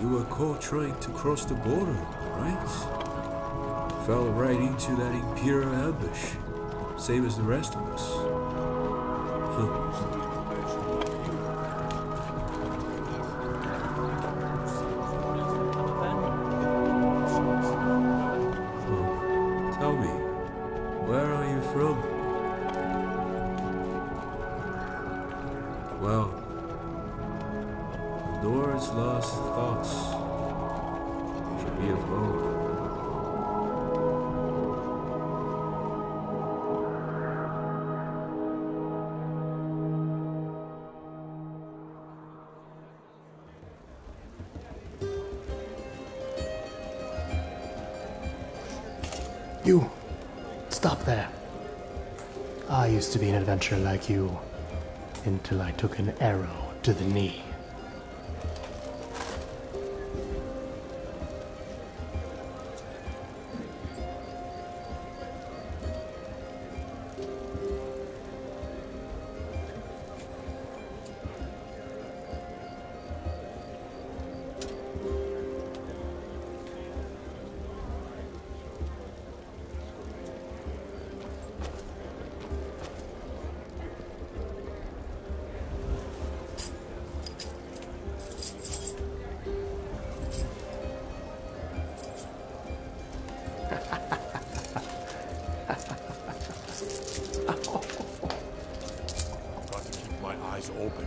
You were caught trying to cross the border, right? Fell right into that Imperial ambush, same as the rest of us. Tell me, where are you from? Well, out. Doors lost thoughts should be of gold. You, stop there. I used to be an adventurer like you until I took an arrow to the knee. Got to keep my eyes open.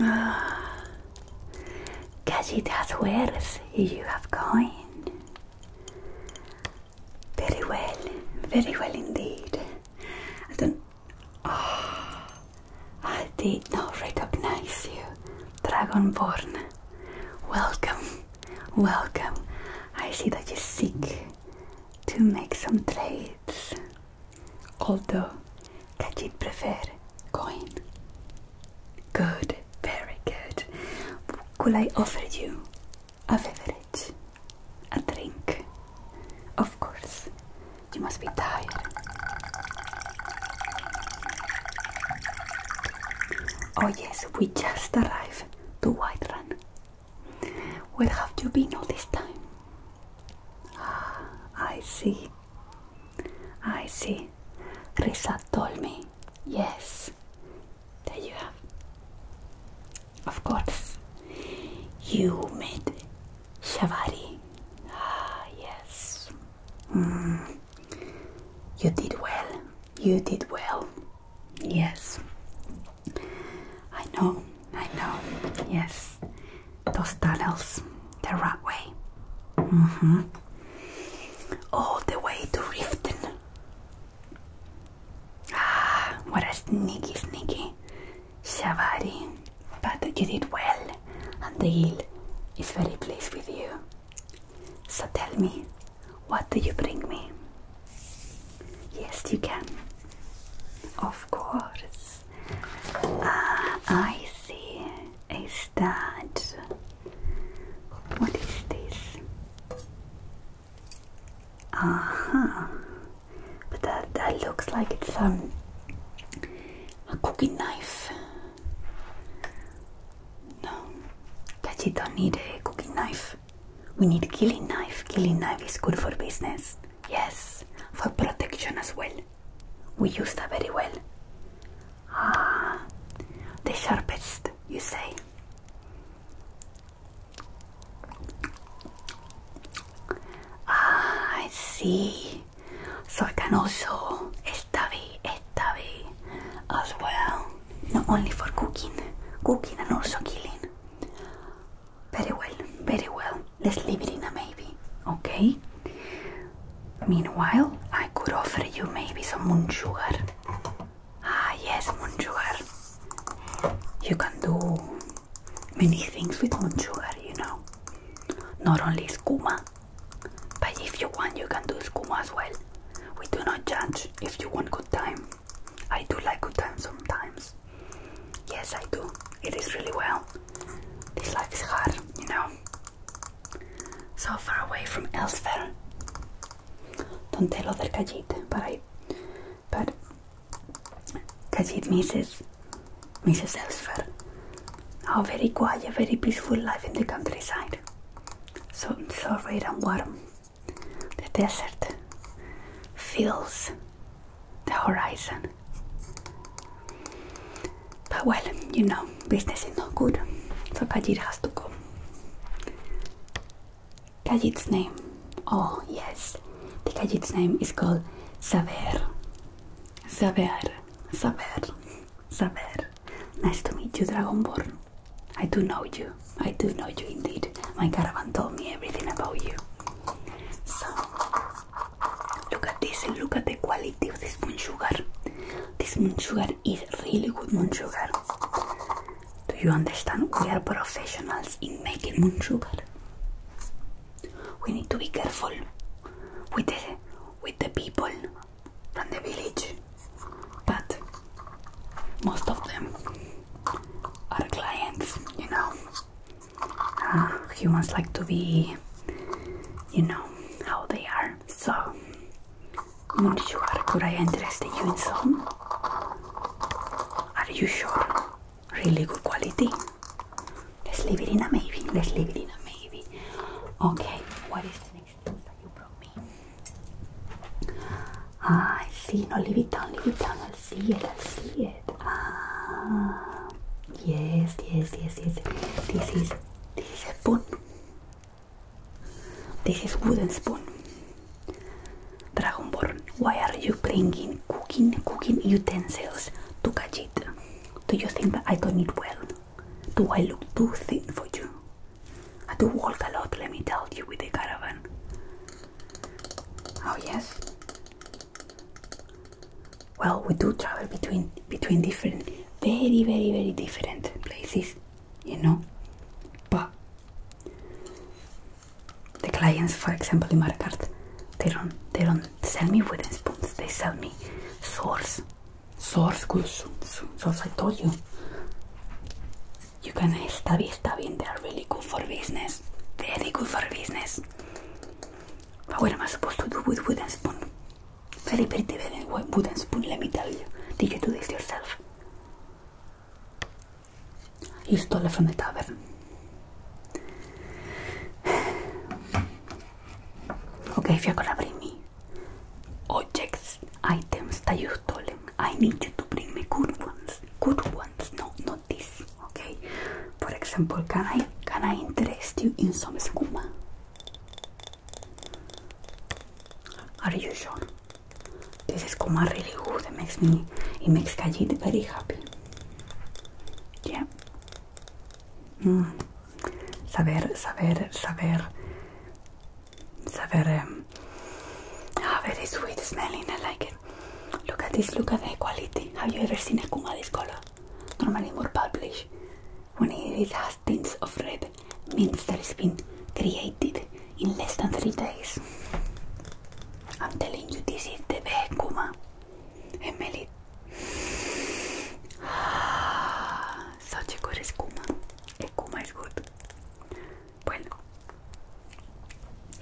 Ah, casi that's where you have come. Very well, very well indeed. I don't. Ah, I did not recognize you, Dragonborn. Welcome, welcome. I see that you seek to make some trades although that you prefer coin. Good, very good. Could I offer you a beverage? A drink? Of course, you must be tired. Oh, yes, we just arrived to White Run. Where have you been all this time? Ah, I see. I see. Risa told me. Yes. There you have. Of course. You made shavari. Ah, yes. Mm. You did well. You did well. Yes. I know. I know. Yes those tunnels the right way. Mm-hmm. All the way to Riften. Ah, what a sneaky, sneaky Shavari. But you did well, and the hill is very pleased with you. So tell me, what do you bring me? Yes, you can. Of course. Uh, I see. Is that what is this? Aha! Uh -huh. But that that looks like it's um a cooking knife. No, you don't need a cooking knife. We need killing knife. Killing knife is good for business. Yes, for protection as well. We use that very well. Ah, the sharpest, you say. Ah, I see. So I can also study, study as well. Not only for cooking, cooking and also killing. Very well, very well. Let's leave it in a maybe, okay? Meanwhile, I could offer you maybe some moon sugar. Ah, yes, moon sugar. You can do many things with moon sugar, you know. Not only skooma, but if you want, you can do skooma as well. We do not judge if you want good time. I do like good time sometimes. Yes, I do. It is really well. This life is hard, you know. So far away from elsewhere. Don't tell other Kajit, but I. But Kajit misses, misses elsewhere. A very quiet, very peaceful life in the countryside. So, so red and warm. The desert feels the horizon. But well, you know, business is not good, so Kajit has to go. Kajit's name, oh yes, the Kajit's name is called Zaver. Zaver, Zaver, Zaver, Nice to meet you, Dragonborn. I do know you. I do know you indeed. My caravan told me everything about you. So, Look at this and look at the quality of this moon sugar. This moon sugar is really good moon sugar. Do you understand? We are professionals in making moon sugar. We need to be careful with the with the people from the village, but most of them are clients, you know humans like to be, you know, how they are. So, I'm not sure. Could I interest you in some? Are you sure? Really good quality. Let's leave it in a maybe. Let's leave it in a maybe. Okay. What is the next thing that you brought me? Ah, I see. No, leave it down. Leave it down. No, see it, see it. Ah, yes, yes, yes, yes. This is this is spoon. This is wooden spoon. Dragonborn, why are you bringing cooking cooking utensils to Kajit? Do you think that I don't eat well? Do I look too thin for you? I do walk a lot, let me tell you, with the caravan. Oh yes, well we do travel between between different very very very different places you know but the clients for example in Marcart they don't they don't sell me wooden spoons they sell me swords swords goods swords I told you you can stabby stabby they are really good for business very good for business Ah, but what am I supposed to do with wooden spoon? Very pretty, very wooden spoon, let me tell you. Did you do this yourself? You stole it from the tavern. Okay, if you're gonna bring me objects, items that you've stolen, I need you to bring me good ones. Good ones, no, no notice. Okay. For example, can I can I interest you in some skooma? Are you sure? This is skooma really good. It makes me it makes Kajit very happy. Yeah. Mm. Saber, saber, saber, saber. Um, ah, very sweet smelling. I like it. Look at this, look at the quality. Have you ever seen a Kuma this color? Normally more published. When it has tints of red, means that it's been created in less than three days. I'm telling you, this is the best Kuma. And smell it. Such a good Kuma. A Kuma is good. Bueno.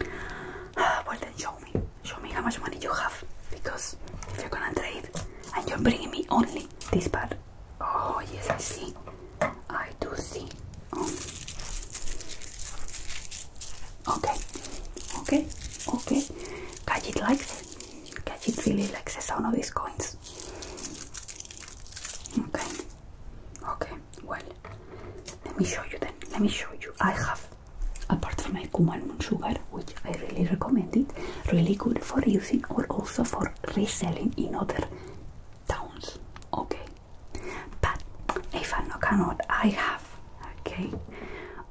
Uh, well then show me. Show me how much money you have. Because if you're gonna trade and you're bringing me only this part. Oh yes, I see. I do see. Um. Okay. Okay. Okay. Gadget likes it. Gadget really likes the sound of these coins. Okay. Okay. Well. Let me show you then. Let me show you. I have, apart from my Kuman Moon Sugar, which I really recommend it, really good for using or also for reselling in other towns. Okay. But if I cannot, I have, okay,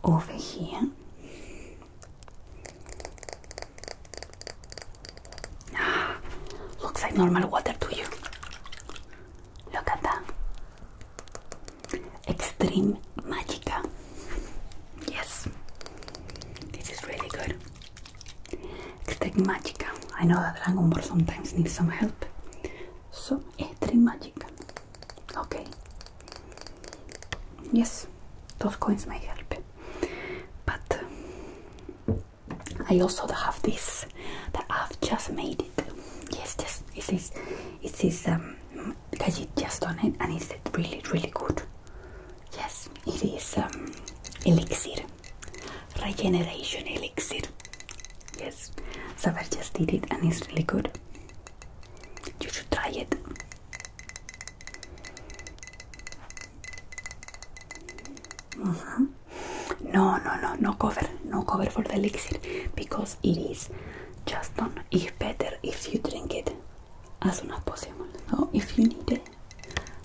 over here. Ah, looks like normal water to you. Look at that. Extreme magic. Yes, this is really good. Extreme magic. I know that Dragon sometimes needs some help. So, Extreme magic. Okay. Yes, those coins may help. But uh, I also have this that I've just made it. Yes, just it is. It is um because you just done it, and it's really really good. Yes, it is um elixir, regeneration elixir. Yes, so I just did it, and it's really good. You should try it. Mm -hmm. No, no, no, no cover, no cover for the elixir because it is just done. It's better if you drink it as soon as possible. So if you need it,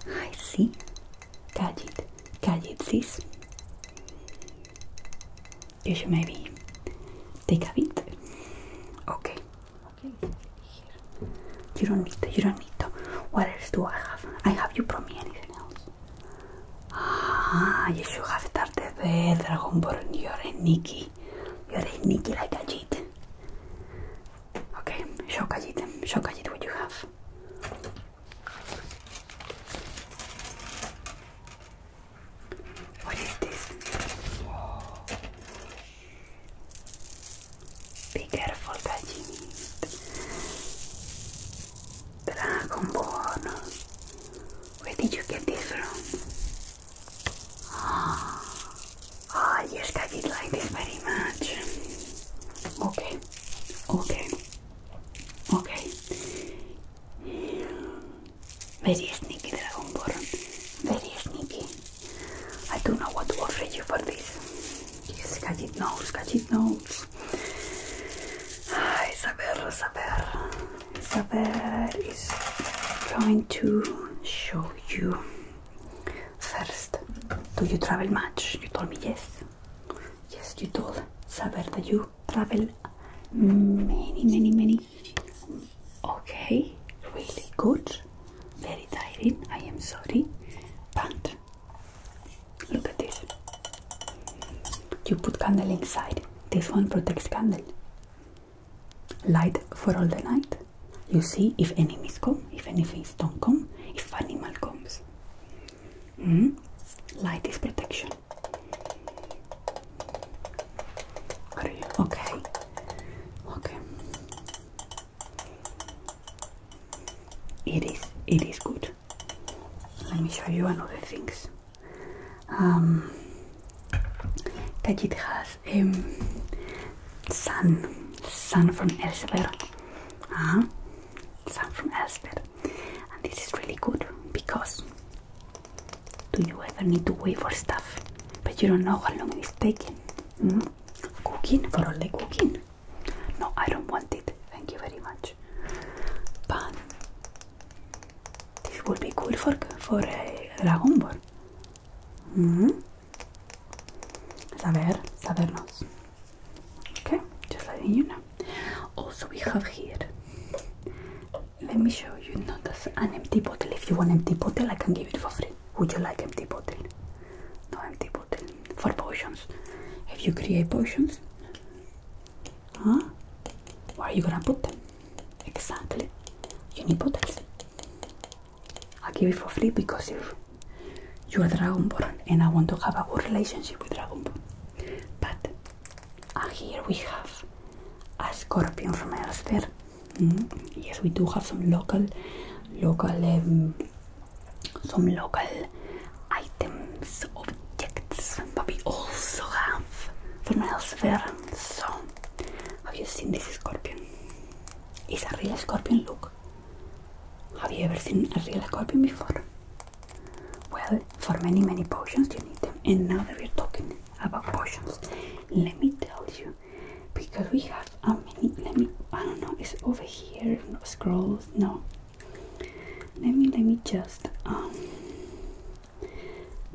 I see. Catch it, catch it, sis. You should maybe take a bit. Okay. Okay. Here. You don't need to. You don't need to. What else do I have? I have you brought me anything else? Ah, you should have started the Dragonborn, You're a Nikki. You're a Nikki like a jet. Okay, show a jet, Show a jet. what you have. What is this? Be careful, Kajit. Dragon Ball. Where did you get this from? Oh, I just I did like this very much. Okay, okay, okay. Very sneaky Dragon Very sneaky. I don't know what to offer you for this. Yes, gadget knows, gadget Isabel, Isabel, Isabel is going to show you first. Do you travel much? You told me yes. Yes, you told Isabel that you travel many, many, many. Okay, really good. Very tired. I am sorry, but Look at this. You put candle inside. This one protects candle. Light for all the night. You see if enemies come, if enemies don't come, if animal comes. Mm? Light is protection. okay? Okay. It is. It is good. Let me show you another things. Um, that it has a um, son, sun, from elsewhere. -huh. Sun from elsewhere, and this is really good because do you ever need to wait for stuff, but you don't know how long it's taking. Mm-hmm. Cooking for all the cooking. No, I don't want it. Thank you very much. But this would be cool for for a Dragon Ball. Mm -hmm. Saber, sabernos. Okay, just letting you know. Also, we have here. Let me show you. Not an empty bottle. If you want empty bottle, I can give it for free. Would you like empty bottle? no empty bottle for potions. If you create potions, huh? Where are you gonna put them? Exactly. You need bottles. I give it for free because you are a Dragonborn and I want to have a good relationship with Dragonborn. But and uh, here we have a scorpion from elsewhere. Mm-hmm. Yes, we do have some local, local um, some local items, objects, but we also have from elsewhere. So, have you seen this scorpion? It's a real scorpion, look. Have you ever seen a real scorpion before? Well, for many, many potions you need them. And now that we're talking about potions, let me tell you, because we have how many, let me, I don't know, it's over here, scrolls, no. Let me, let me just, um,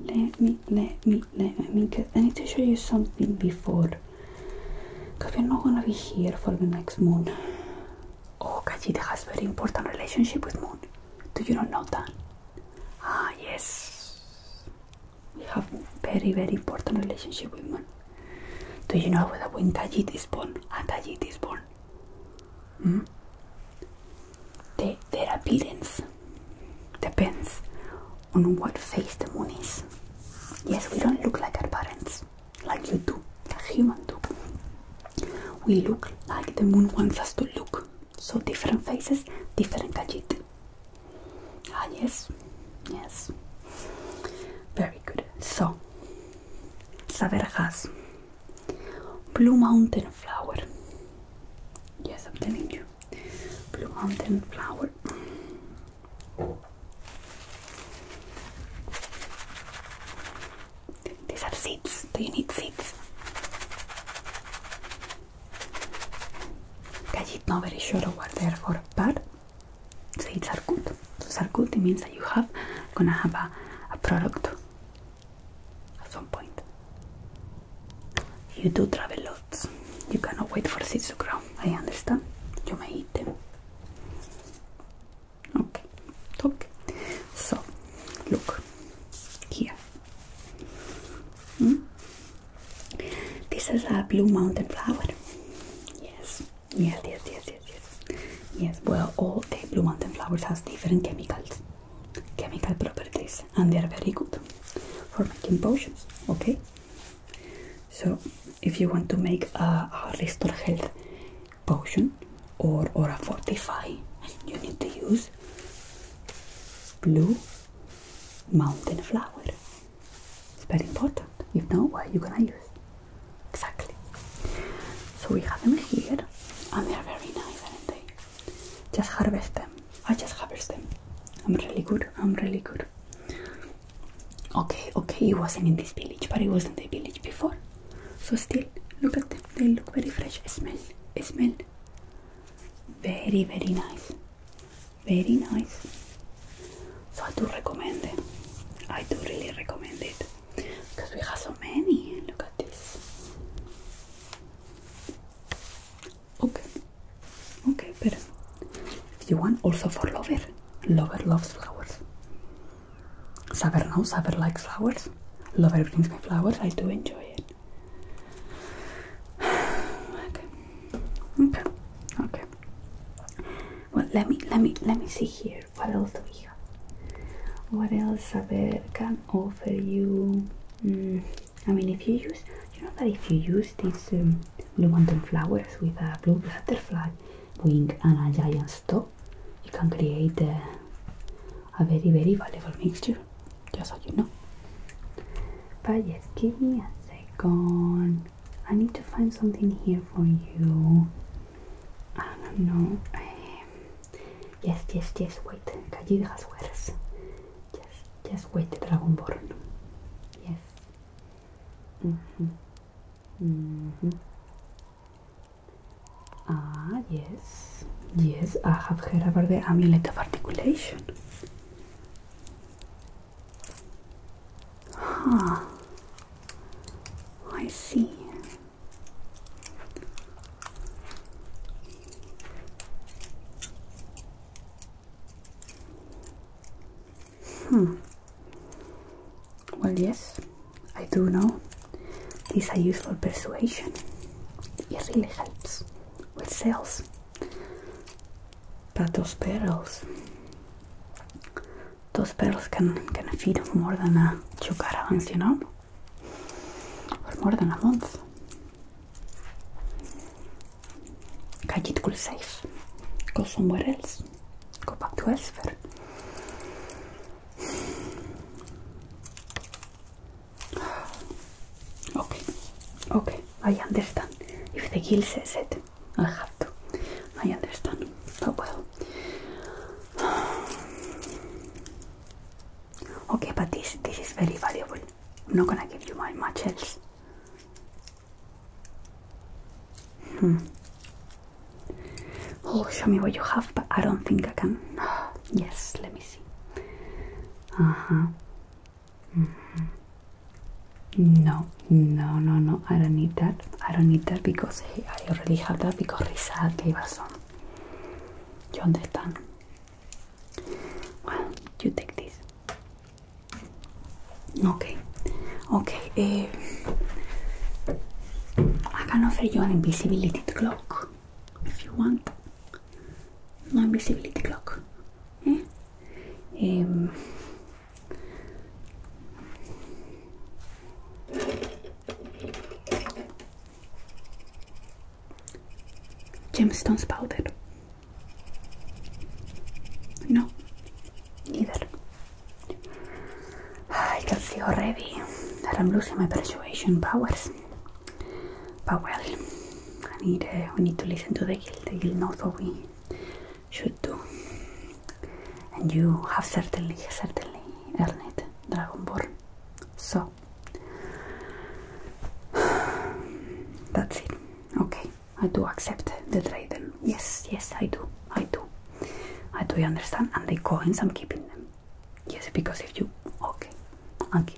let me, let me, let me, cause I need to show you something before. Cause we're not gonna be here for the next moon. Oh, Kajita has very important relationship with moon. Do you not know that? Ah, yes. We have very, very important relationship with moon. Do you know that when Tajit is born, a Tajit is born, hmm? the, their appearance depends on what face the moon is. Yes, we don't look like our parents, like you do, the human do. We look like the moon wants us to look. So different faces, different Tajit. Ah yes, yes. Very good. So Saver has Blue Mountain Flower. Yes, I'm telling you. Blue Mountain Flower. These are seeds. Do you need seeds? I'm not very sure what they're for, but Seeds are good. So sarkut means that you have gonna have a, product at some point. You do travel lots. You cannot wait for seeds to grow. I understand. You may eat them. Okay. Okay. So look here. Hmm? This is a blue mountain flower. Yes. Yes, yes, yes, yes, yes. Yes, well, all the blue mountain flowers has different chemicals, chemical properties, and they are very good for making potions, okay? So, if you want to make a, a restore health potion or, or a fortify, you need to use blue mountain flower. It's very important. If not, what are you gonna use? Exactly. So we have them here and they are very nice, aren't they? Just harvest them. I just harvest them. I'm really good. I'm really good. Okay, okay, it wasn't in this village, but it was in the village before. So still, look at them. They look very fresh. Smell, smell. Very, very nice very nice so I do recommend it I do really recommend it because we have so many look at this okay okay but if you want also for lover lover loves flowers Saber knows Saber likes flowers lover brings me flowers I do enjoy it okay okay okay well let me let me let me see here what else do we have what else Saber can offer you mm, I mean if you use you know that if you use these um, blue mountain flowers with a blue butterfly wing and a giant stalk you can create a very very valuable mixture just so you know but yes give me a second I need to find something here for you. I don't know. Um, yes, yes, yes, wait. Calligas words. Yes, just wait, Dragonborn. Yes. -hmm. -hmm. Ah, yes. Yes, I have heard about the amulet of articulation. Huh. I see. Hmm. Well, yes, I do know. These are useful persuasion. It really helps with sales but those pearls, those pearls can can feed more than uh, two caravans you know for more than a month Kajit could safe, go somewhere else go back to elsewhere okay okay I understand if the gill says it i have to. I understand, Oh well. Okay, but this this is very valuable. I'm not gonna give you my much else. Hmm. Oh, show me what you have, but I don't think I can. Yes, let me see. Uh huh. No, no, no, no. I don't need that. I don't need that because I already have that because Risa gave us some. You understand? Well, you take this. Okay, okay. Eh, I can offer you an invisibility clock if you want. No invisibility clock. ¿eh? Eh, gemstones powder no neither I can see already that I'm losing my persuasion powers but well I need, uh, we need to listen to the guild the guild knows what we should do. And you have certainly, certainly earned it, Dragonborn. So that's it. Okay, I do accept the trade. Yes, yes, I do. I do. I do understand. And the coins, I'm keeping them. Yes, because if you okay, I'm okay.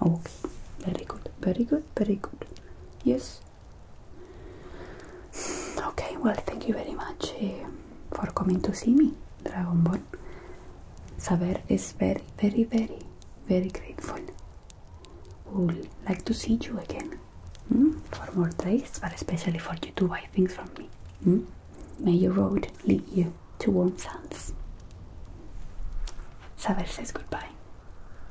Okay, very good, very good, very good. Yes. Okay, well, thank you very much eh, for coming to see me, Dragonborn. Saber is very, very, very, very grateful. Will like to see you again hmm, for more days, but especially for you to buy things from me. Hmm. May your road lead you to warm sands. Saber says goodbye.